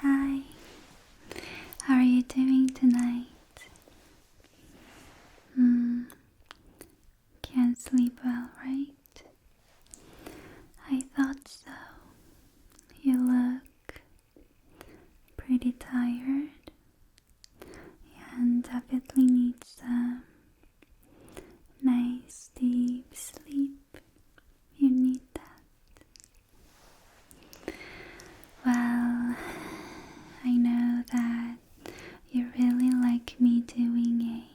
Hi, how are you doing tonight? Hmm. Can't sleep well, right? I thought so. You look pretty tired. You definitely need some nice deep sleep. You need that. Well, I know that you really like me doing a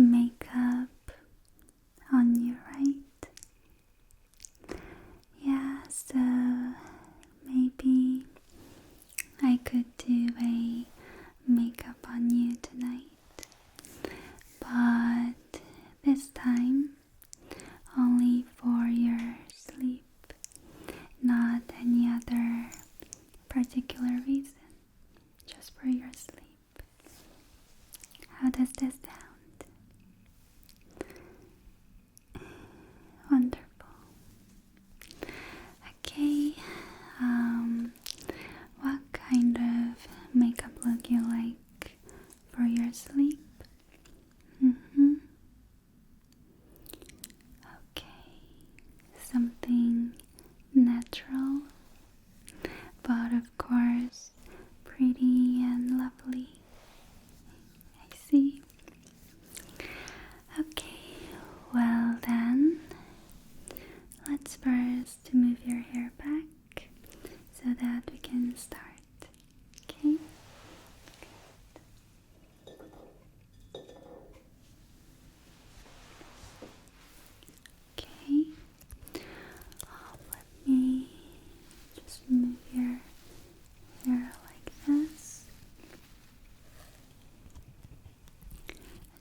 makeup on your right? Yeah, so maybe I could do a makeup on you tonight, but this time only for your sleep, not any other particular reason, just for your sleep. How does this sound? Wonderful. Okay. Um, what kind of makeup look you like for your sleep? Mm-hmm. Okay. Something natural, but of course pretty and lovely. I see. Okay, well then, let's first move your hair back so that we can start. Okay? Okay. Oh, let me just move your hair like this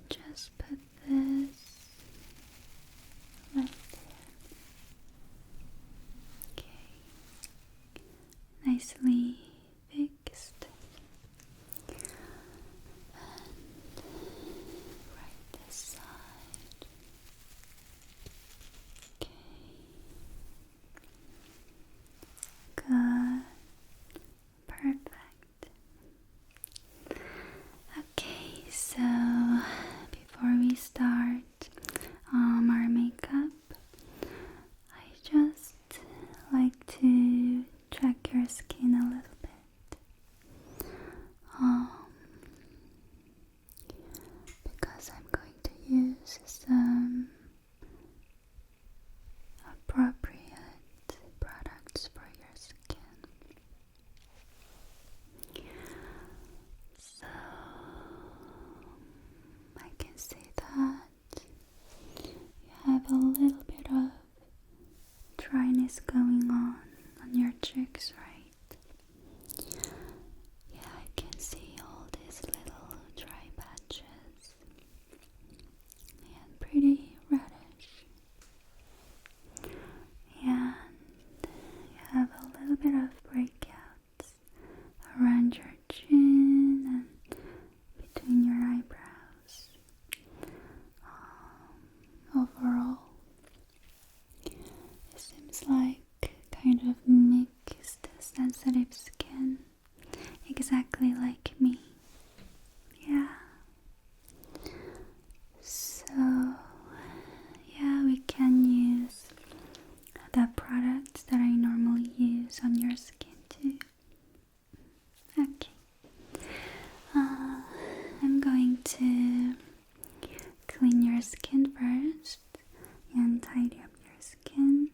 just put this right there. Okay. Nicely fixed. And right this side. Okay. Good. Perfect. Okay, so before we start um, our makeup, I just like to check your skin a little bit. Um, because I'm going to use some appropriate products for your skin. So I can see that you have a little bit of dryness going on on your cheeks, right? Yeah, I can see all these little dry patches and pretty reddish. And you have a little bit of breakouts around your chin and between your eyebrows. Um, overall, it seems like kind of mixed sensitive skin exactly like me. Yeah. So, yeah, we can use the products that I normally use on your skin too. Okay. Uh, I'm going to clean your skin first and tidy up your skin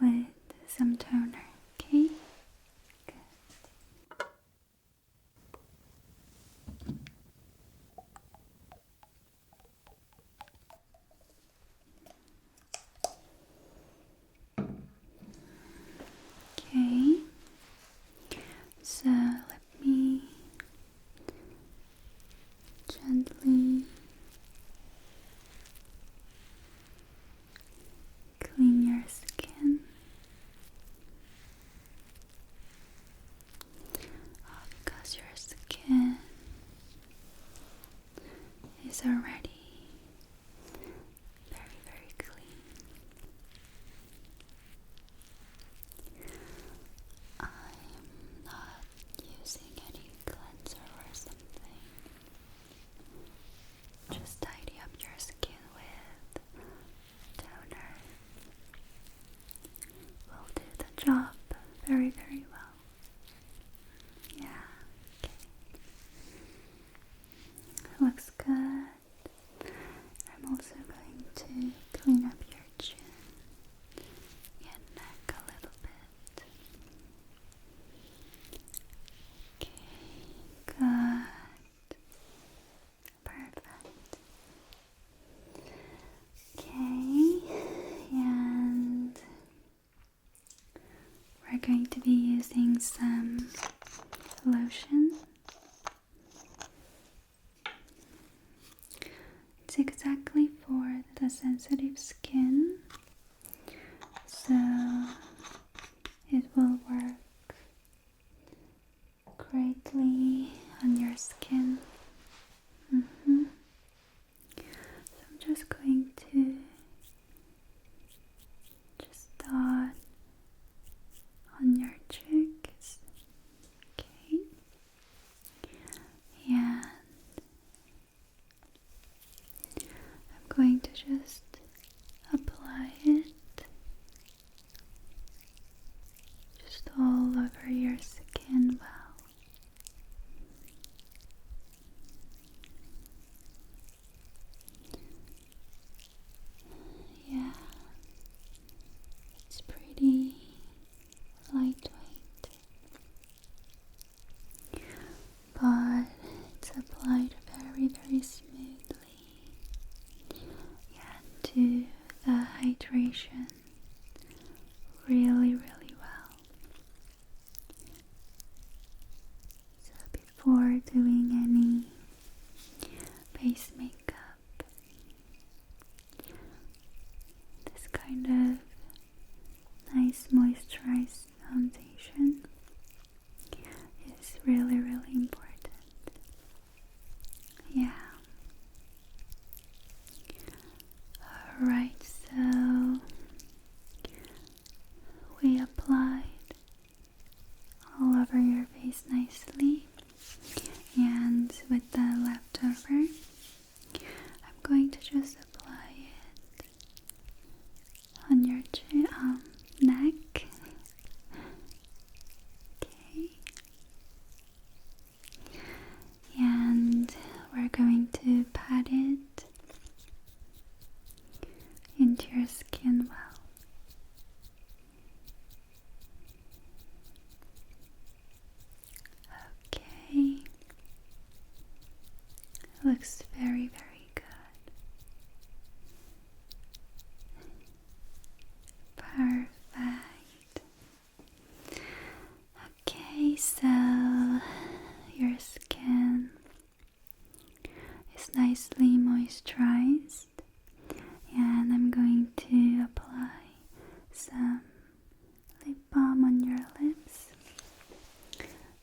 with some toner, okay? Okay, so let me gently Clean your skin. because your skin is already very, very clean. I'm not using any cleanser or something. Just tidy up your skin with toner. Will do the job very, very well. Yeah, okay. looks good. I'm also going to clean up your chin, your neck a little bit. Okay, good. Perfect. Okay, and we're going to be using some lotion. It's exactly for the sensitive skin so it will work greatly on your skin. Mm-hmm. So I'm just going to just dot on your cheeks, okay, and I'm going to just apply it just all over your skin well. Yeah, it's pretty lightweight but it's applied very, very smoothly. And to the hydration really, really well. So before doing any base makeup, this kind of nice moisturizer foundation is really, really important. Yeah. Alright, so we applied all over your face nicely, and with the leftover I'm going to just apply it on your um, neck. Okay. And we're going to pat it into your skin well. Okay. It looks very, very good. Perfect. Okay, so your skin is nicely moisturized, and I'm going to apply some lip balm on your lips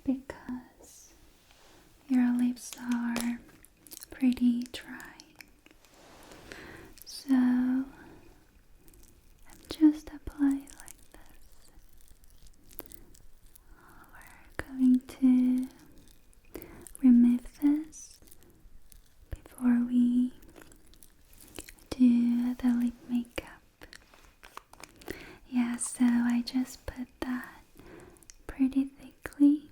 because your lips are pretty dry. So I'm just applying like this. We're going to remove this before we do the lip makeup. Yeah, so I just put that pretty thickly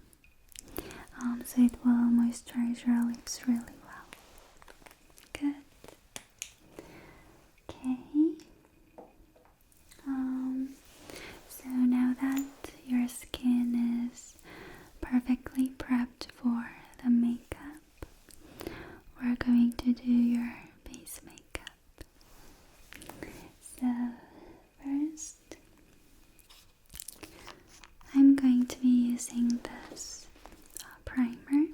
um, so it will moisturize your lips really well. Good. Okay. Um, so now that your skin is perfectly prepped for the makeup, we're going to do your base makeup. So, first, I'm going to be using this uh, primer. I'm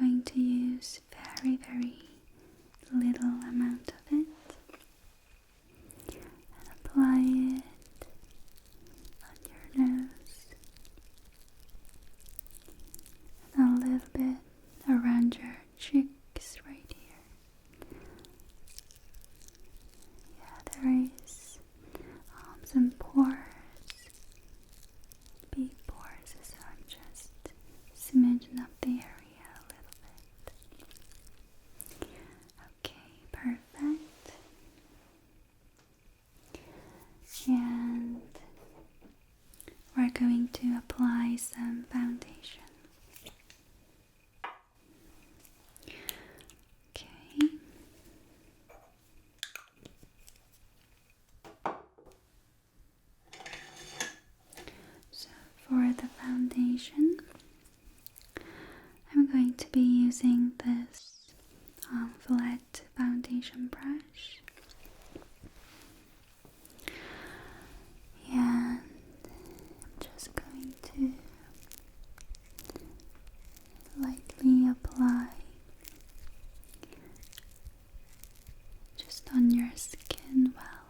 going to use very, very little amount of it and apply it on your nose and a little bit around your cheeks right here. Yeah, there is um, some pores, big pores, so I'm just smidgen up the area a little bit. Okay, perfect and we're going to apply some foundation. Okay. So for the foundation, I'm going to be using this um, foundation brush. And I'm just going to lightly apply just on your skin well.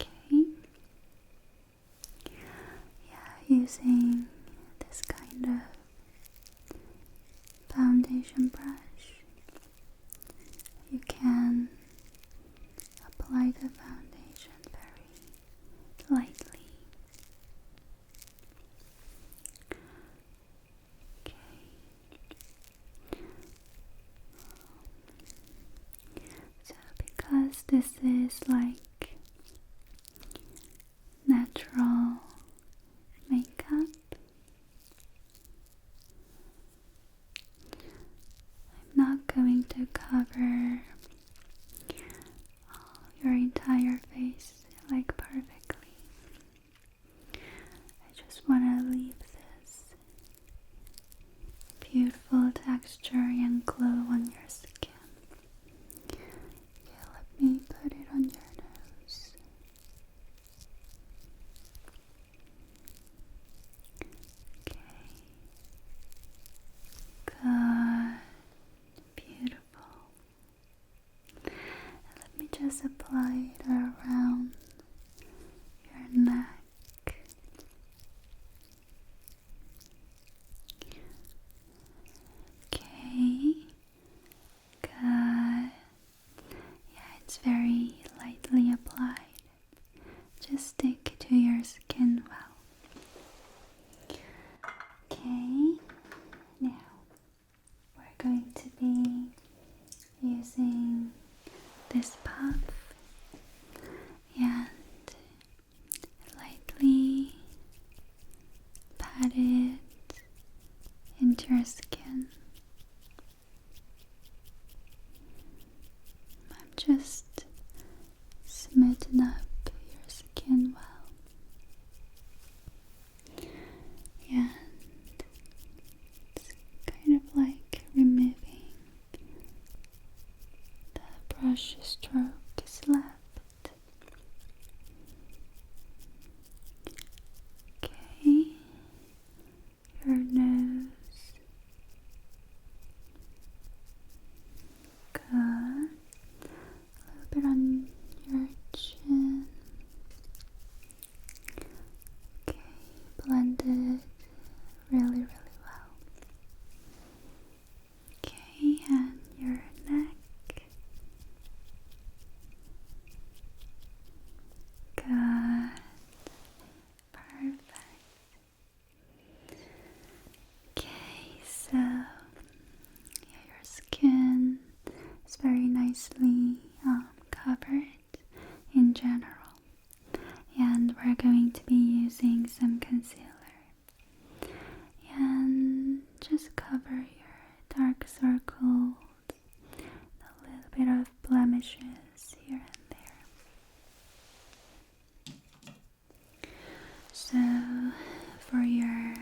Okay yeah, using this kind of foundation brush, you can apply the foundation very lightly. Okay. So, because this is like natural makeup, I'm not going to cover your entire face like perfectly. I just want to leave this beautiful texture and glow on your skin. Yeah, let me put it on your nose. Okay. Good. Beautiful. let me just apply it around your neck. Okay. Good. Yeah, it's very lightly applied. Just stick to your skin well. Okay. Now we're going to be using this puff and lightly pat it into your skin. I'm just smitten up your skin well. And it's kind of like removing the brush stroke is left. Okay, your nose. Good. A little bit on your chin. Okay, blended really, really well. Okay, and your neck. Good. Perfect. Okay, so your skin is very nicely um, covered in general and we're going to be using some concealer and just cover your dark circles a little bit of blemishes here and there so for your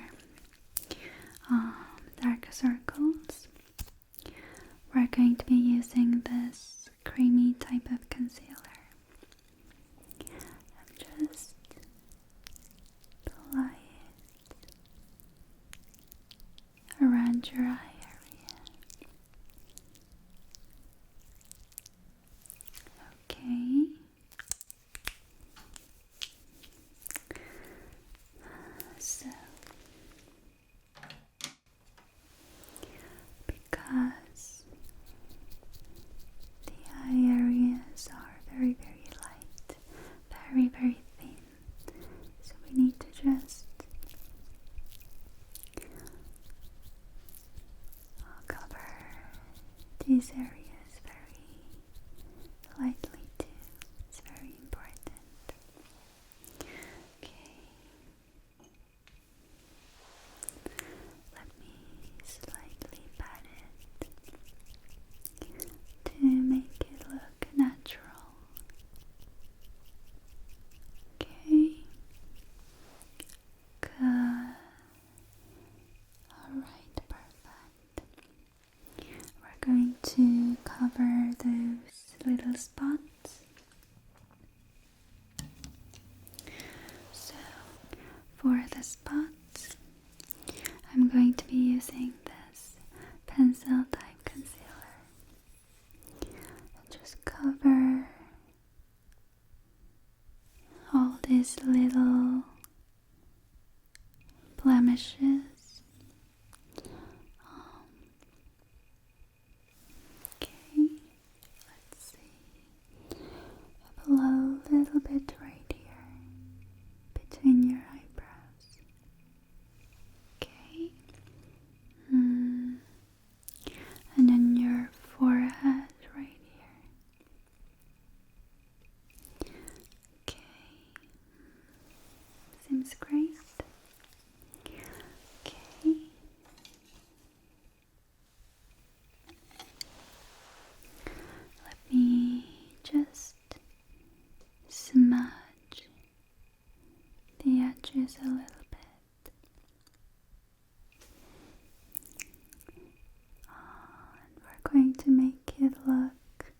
um, dark circles we're going to be using this creamy type of concealer and just apply it around your eye area. Okay. So because the eye areas are very, very light, very, very thin. So we need to just cover these areas very lightly too. It's very important. Okay. Let me slightly pat it to make it look natural. Okay. Good. Alright, perfect. We're going to cover those little spots. So, for the spots, I'm going to be using this pencil type concealer just cover all these little blemishes. Um, Okay, let's see. a little, bit right here between your eyebrows. Okay. Hmm. And then your forehead right here. Okay. Seems great. Okay. Let me just smudge the edges a little bit and we're going to make it look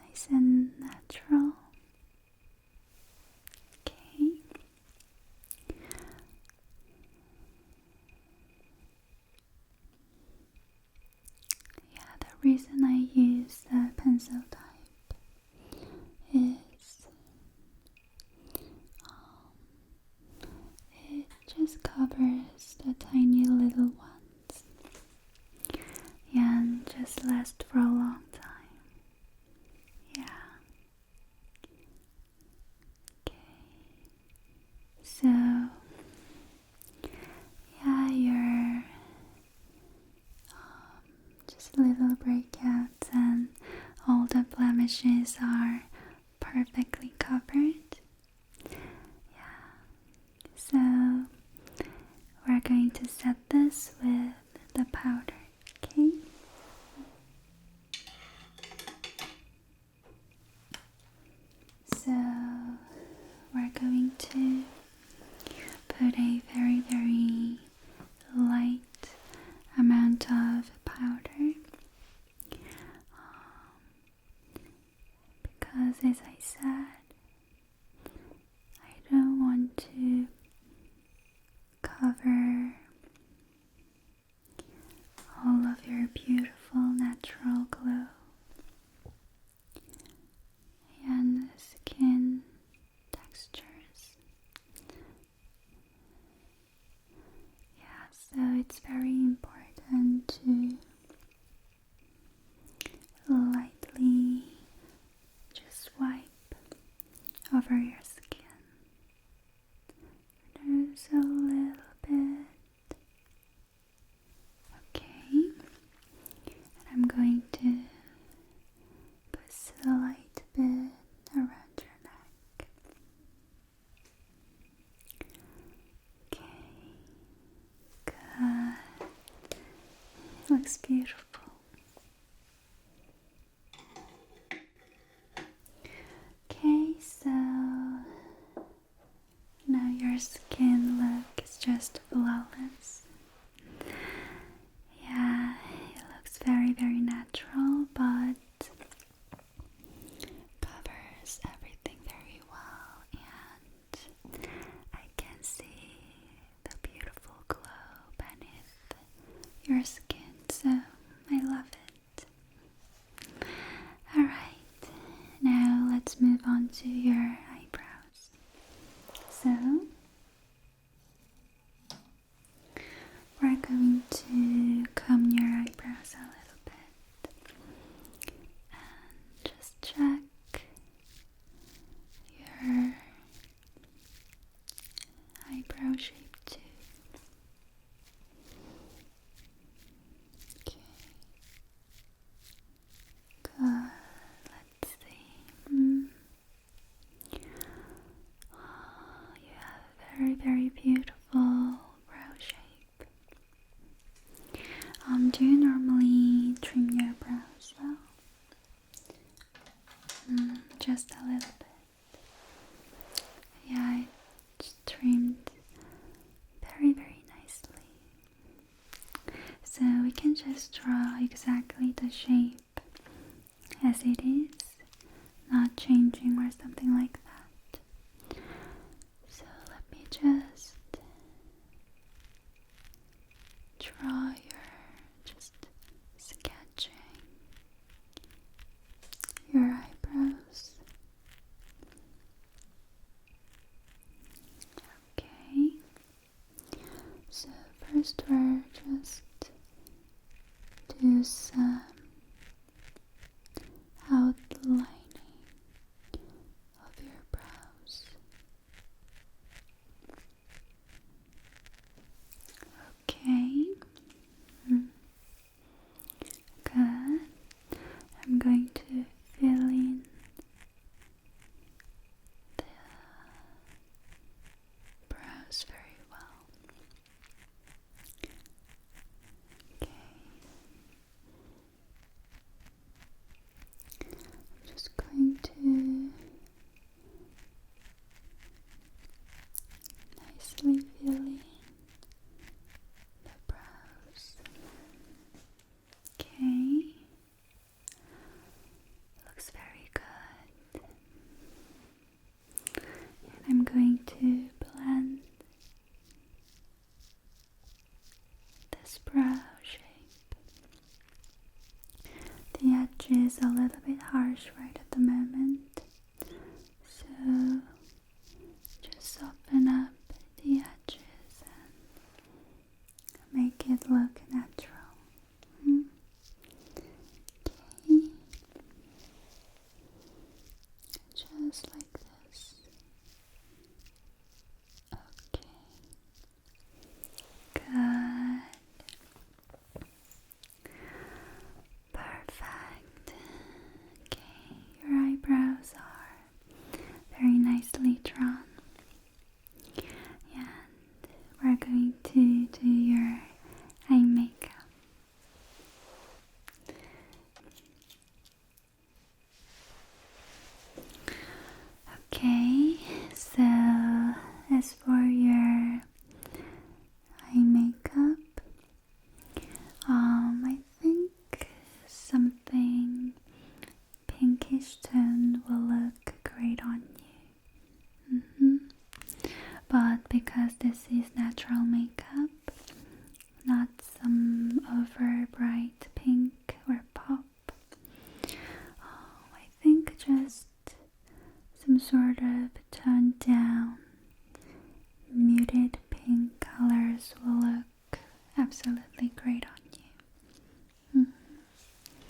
nice and natural okay yeah, the reason I use the pencil type is um, it just covers the tiny little ones and just lasts for a long time. Yeah. Okay. So, yeah, your um, just little breakouts and all the blemishes are perfectly covered. Yeah. So, we're going to set this with the powder, okay? So we're going to put a very, very light amount of powder because, as I said, I don't want to cover all of your beautiful natural glow and skin textures. Yeah, so it's very important to lightly just wipe over your skin there's a little bit. Okay. I'm going to put a light bit around your neck. Okay. Good. It looks beautiful. Okay, so now your skin look is just flawless. Yeah, it looks very, very natural, but covers everything very well, and I can see the beautiful glow beneath your skin, so I love it. Alright, now let's move on to your eyebrows. So, we're going to comb your eyebrows a little bit and just check your eyebrow shape too. Okay. Good. Let's see. Hmm. Oh, you have very, very beautiful brow shape. Um, do you normally trim your brows though? Hmm, just a little bit. Yeah, it's trimmed very, very nicely. So we can just draw exactly the shape as it is, not changing or something like that. So let me just draw your just sketching your eyebrows. Okay, so first we're just do some outlining of your brows. Okay. Good. I'm going to fill in the brows very well. Okay. I'm just going to nicely filling the brows. Okay, looks very good. I'm going to blend this brow shape. The edge is a little bit harsh right at the moment, so just soften up the edges and make it look natural. Hmm? Okay. Just like this. Okay. Good. Perfect. Okay, your eyebrows are very nicely drawn. And we're going to do your eye makeup. Okay, so as for your eye makeup. Um, I think something pinkish tone will look great on you. Mm-hmm. But because this is natural makeup, not some over bright pink or pop, oh, I think just some sort of toned down, muted pink colors will look absolutely great on you.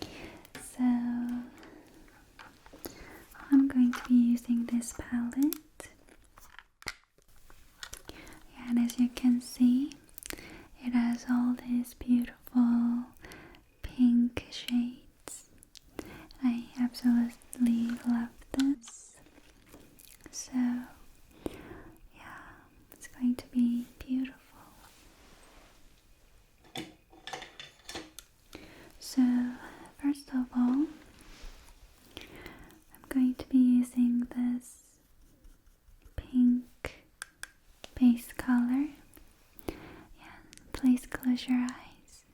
Mm-hmm. So, I'm going to be using this palette, and as you can see, it has all these beautiful pink shades I absolutely love this. So, yeah, it's going to be beautiful. So, first of all, I'm going to be using this pink base color. Yeah, please close your eyes.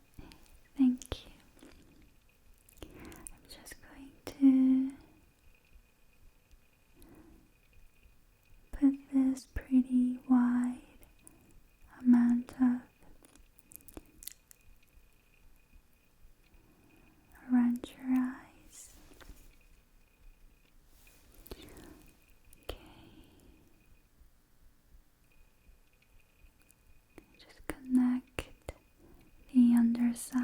Thank you. I'm just going to put this pretty wide amount of around your eyes. Okay. Just connect the underside.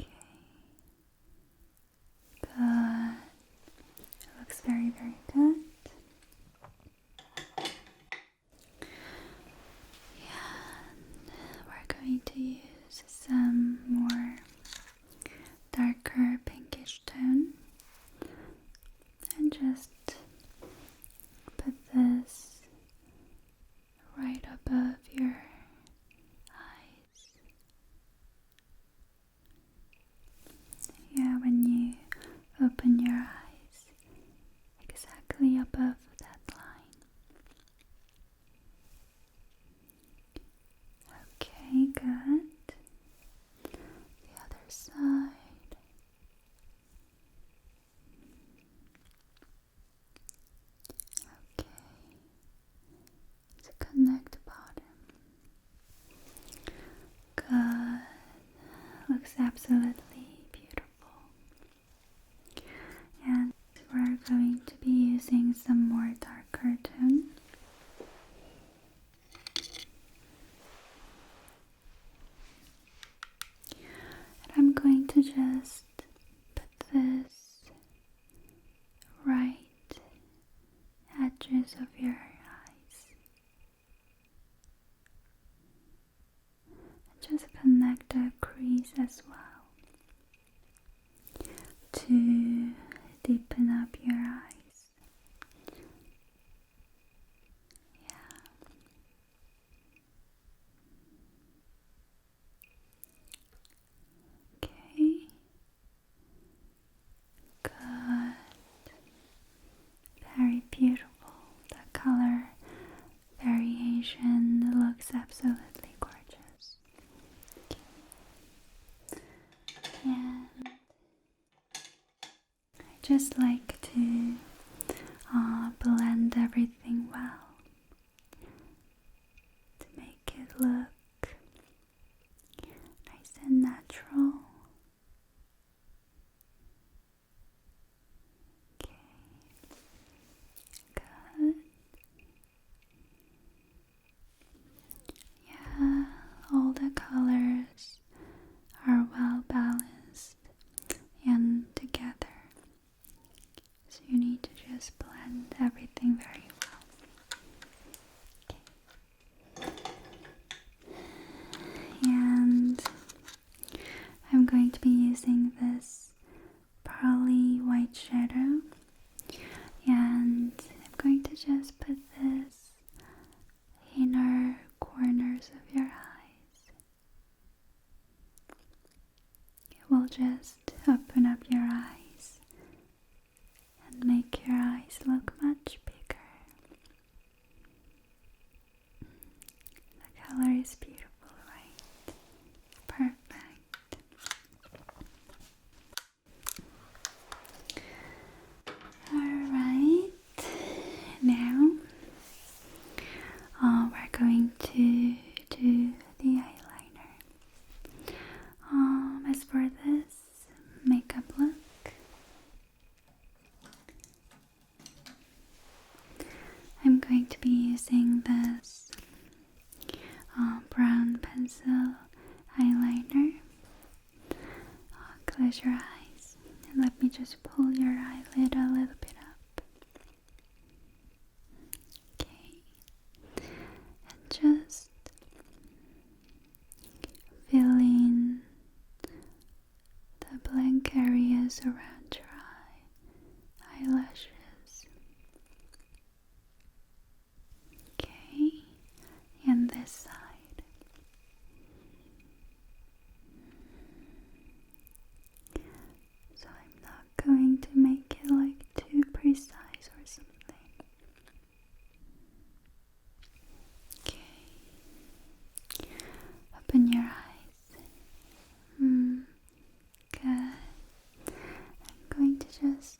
Okay. Good. It looks very, very good. And we're going to use some more darker pinkish tone and just put this right above your eyes. Yeah, when you open your eyes, exactly above that line. Okay, good. The other side. Okay. To connect the bottom. Good. Looks absolutely beautiful. And we're going to be using some more darker tone. And I'm going to just put this right edges of your eyes. And just connect that crease as well to deepen up your eyes. Yeah. Okay. Good. Very beautiful. The color variation looks absolutely gorgeous. Okay. I just like to uh, blend everything well to make it look nice and natural. Okay, good. Yeah, all the colors are well balanced and together. So you need to just blend everything very well. Okay. And I'm going to be using this pearly white shadow and I'm going to just put this inner corners of your eyes. It will just open up your eyes and make your eyes look much bigger. The color is beautiful, right? Perfect. Alright, now uh, we're going to do the eyeliner. Um, as for this makeup look, I'm going to be using this uh, brown pencil eyeliner Oh, close your eyes and let me just pull your eyelid a little bit up. Okay, and just fill the blank areas around your eye, eyelashes. Okay, and this side. So I'm not going to make it like too precise or something. Okay, open your eyes. Mm. Good. I'm going to just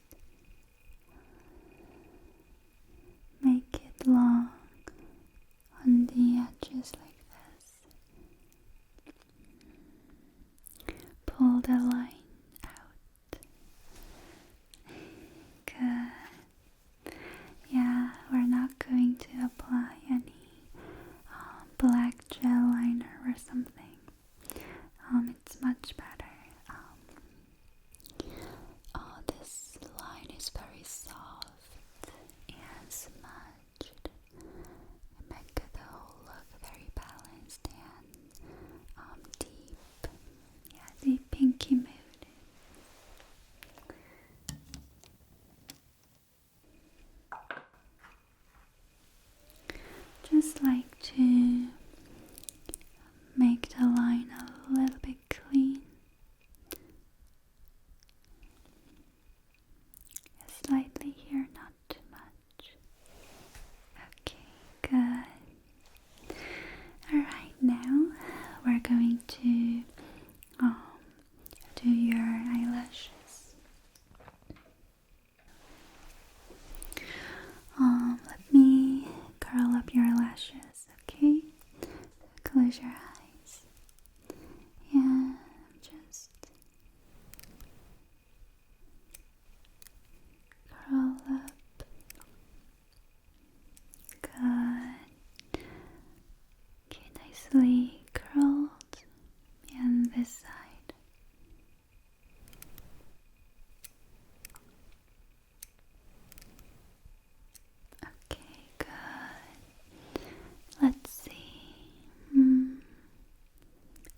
Make it long on the edges like this. Pull the line out. Good. Yeah, we're not going to apply any um, black gel liner or something. Um, it's much better. Um, Oh, this line is very soft and smudged. It makes the whole look very balanced and um, deep. Yeah, the pinky mood. Just like to make the line a little bit clean. Slightly here, not too much. Okay, good. Alright, now we're going to um, do your eyelashes. Um, let me curl up your eyelashes, okay? Close your eyes. Yeah, just curl up. Good. Okay, nicely curled. And this side. Okay, good. Let's see. Hmm.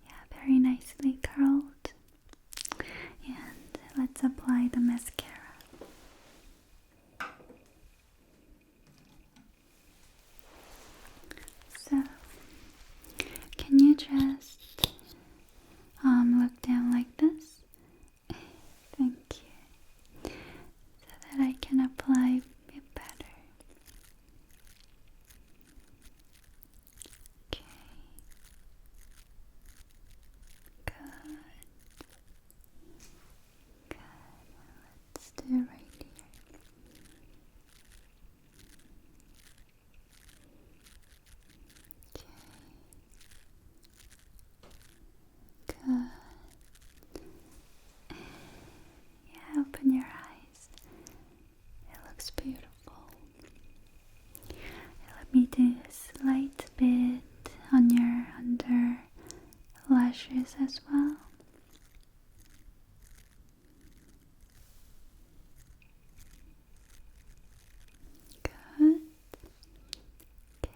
Yeah, very nicely curled. And let's apply the mascara. So, can you just um, look down like this? Thank you. So that I can apply better. Okay. Good. Good. Let's do right here. Okay. Good. Yeah, open your eyes. It looks beautiful. Let me do a slight bit on your under lashes as well. Good. Okay,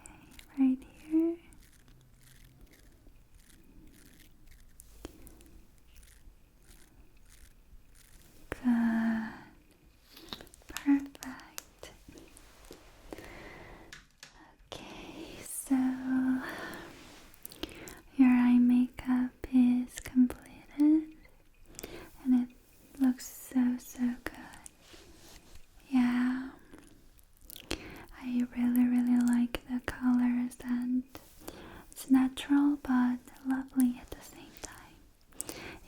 right here. Good. Perfect. Okay, so your eye makeup is completed and Looks so, so good. Yeah. I really, really like the colors and it's natural but lovely at the same time.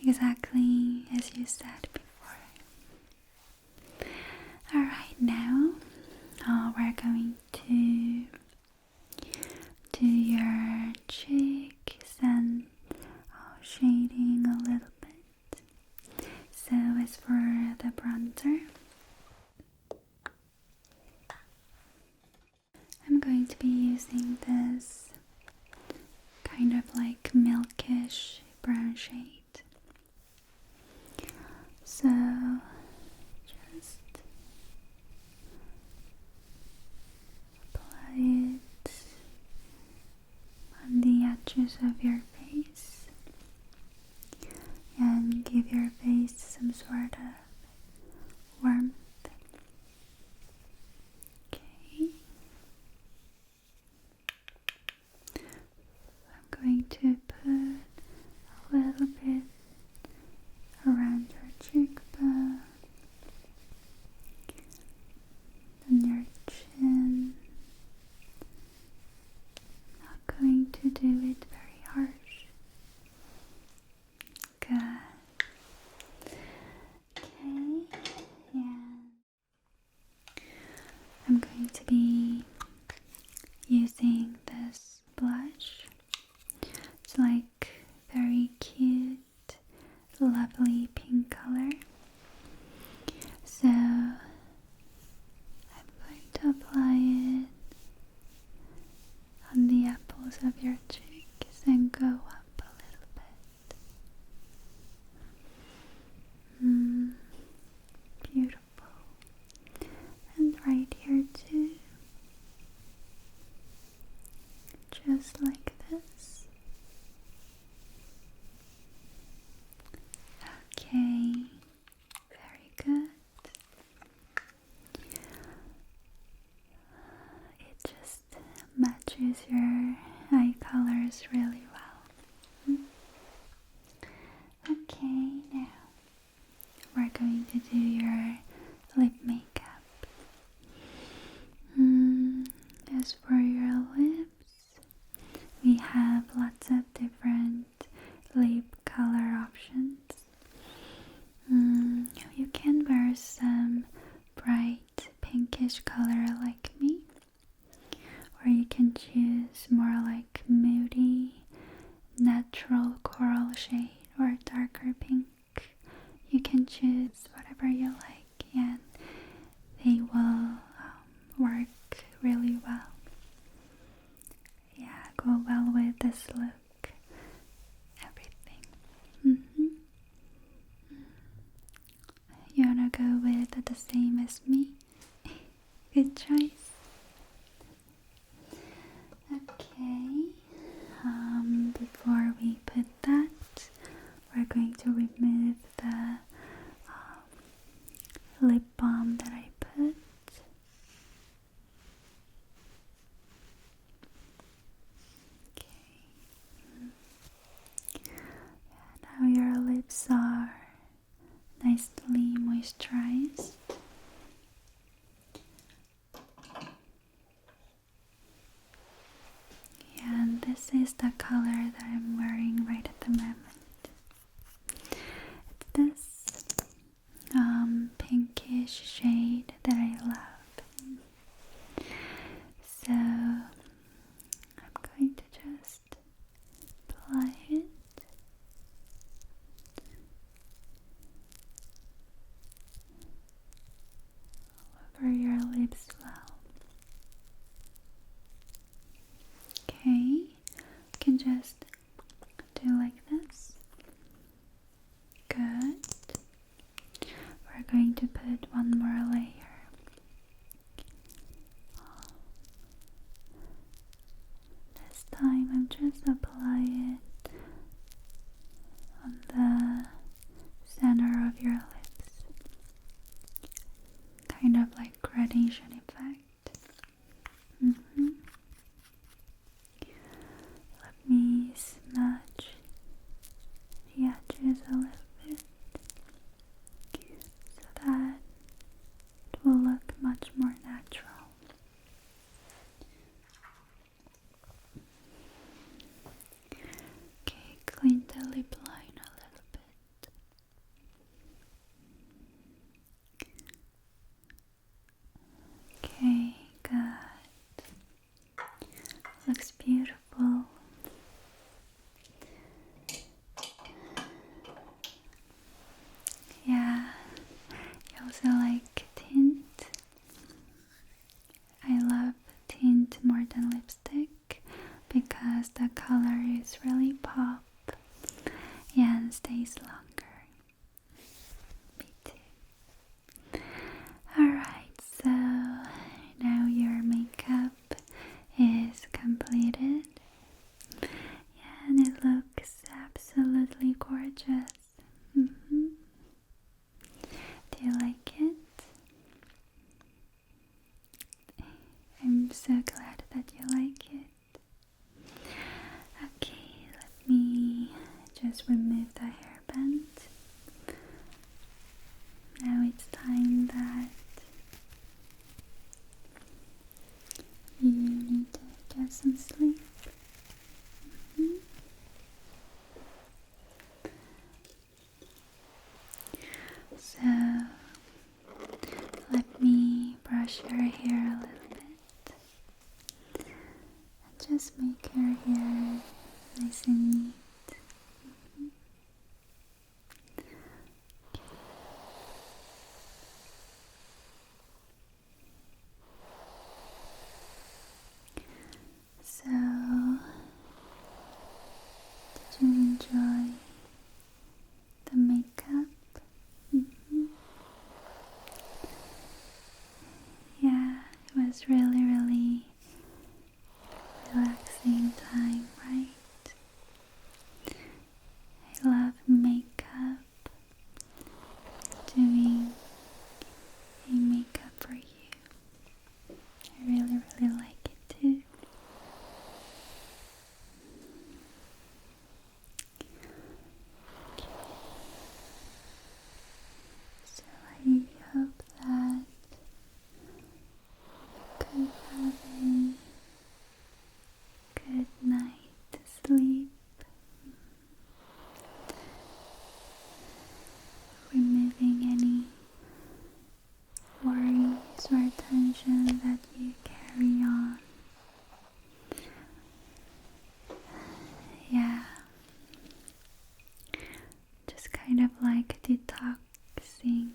Exactly as you said before. Alright, now uh, we're going to do your cheeks and uh, shading a little bit. So, as for the bronzer, I'm going to be using this kind of like milkish brown shade. So, just apply it on the edges of your face and give your face some sort of warmth. Okay. I'm going to put a little bit around your cheekbone and your chin. Not going to do it very harsh. Good. Okay, and I'm going to be using this blush. It's like very cute lovely pink color. So I'm going to apply it on the apples of your cheeks and go up a little bit. Mm, beautiful. And right here, too just like this. Okay, very good. It just matches your eye colors really well. Hmm. Okay, now we're going to do your lip makeup. Mm, as for your lips, we have lots of different lip color options. Mm, you can wear some bright pinkish color like me, or you can choose more like moody, natural coral shade or darker pink you can choose whatever you like and they will um, work really well. Yeah, go well with this look, everything. Mm -hmm. You wanna go with the same as me? Good choice. Okay. Um, before we put that, we're going to remove the um, lip balm that I put. Okay. now your lips are nicely moisturized. Yeah, and this is the color that I'm wearing right at the moment. It's this um, pinkish shade that I love. So I'm going to just apply it over your lips well. Okay, can just do like this. Good. We're going to put one more layer. This time I'm just applying it on the center of your lips. Kind of like gradation effect. Mm-hmm. Let me smudge the edges a little bit so that it will look much more natural. Okay, clean the lip line a little bit. Okay, good. Looks beautiful. Yeah, you also like tint. I love tint more than lipstick because the color is really pop and stays longer. Alright, so now your makeup is completed and it looks absolutely gorgeous. Mm-hmm. Do you like it? I'm so glad that you like it. Okay, let me just remove the hairband. Now it's time that you need to get some sleep. Mm-hmm. So let me brush her hair a little bit and just make her hair nice and neat. So, did you enjoy the makeup? Mm-hmm. Yeah, it was really, really relaxing time, right? I love makeup, doing a makeup for you. I really, really like it too. So I hope that you could have a good night sleep. Removing any worries or tension that you carry on. Yeah. Just kind of like detoxing.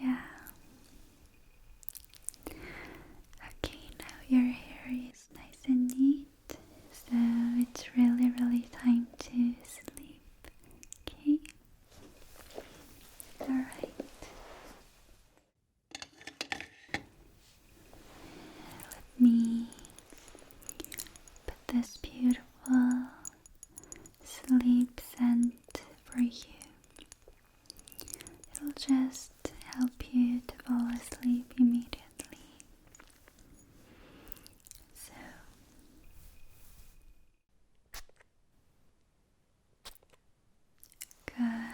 Yeah. Okay, now your hair is nice and neat so it's really, really time to sleep. Okay? Alright. Let me put this beautiful sleep scent for you. It'll just help you to fall asleep immediately. So good. Yeah,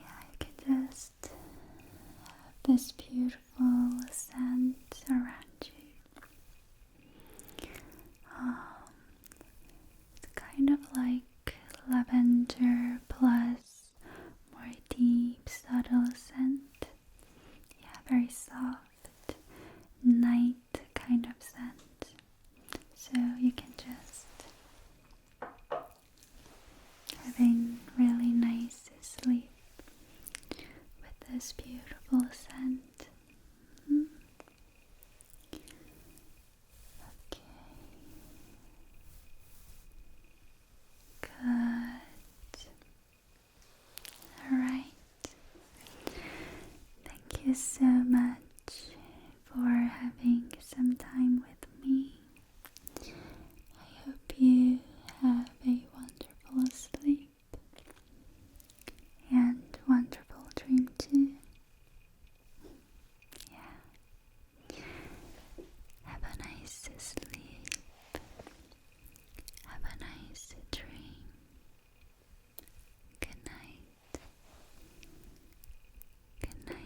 you can just have this beautiful scent around you. Um, it's kind of like lavender plus more deep, subtle scent. Yeah, very soft, night kind of scent. So you can just having really nice sleep with this beautiful scent. Mm-hmm. Okay. Good. All right. Thank you so much for having some time with me. I hope you have a wonderful sleep and wonderful dream too. Yeah. Have a nice sleep. Have a nice dream. Good night. Good night.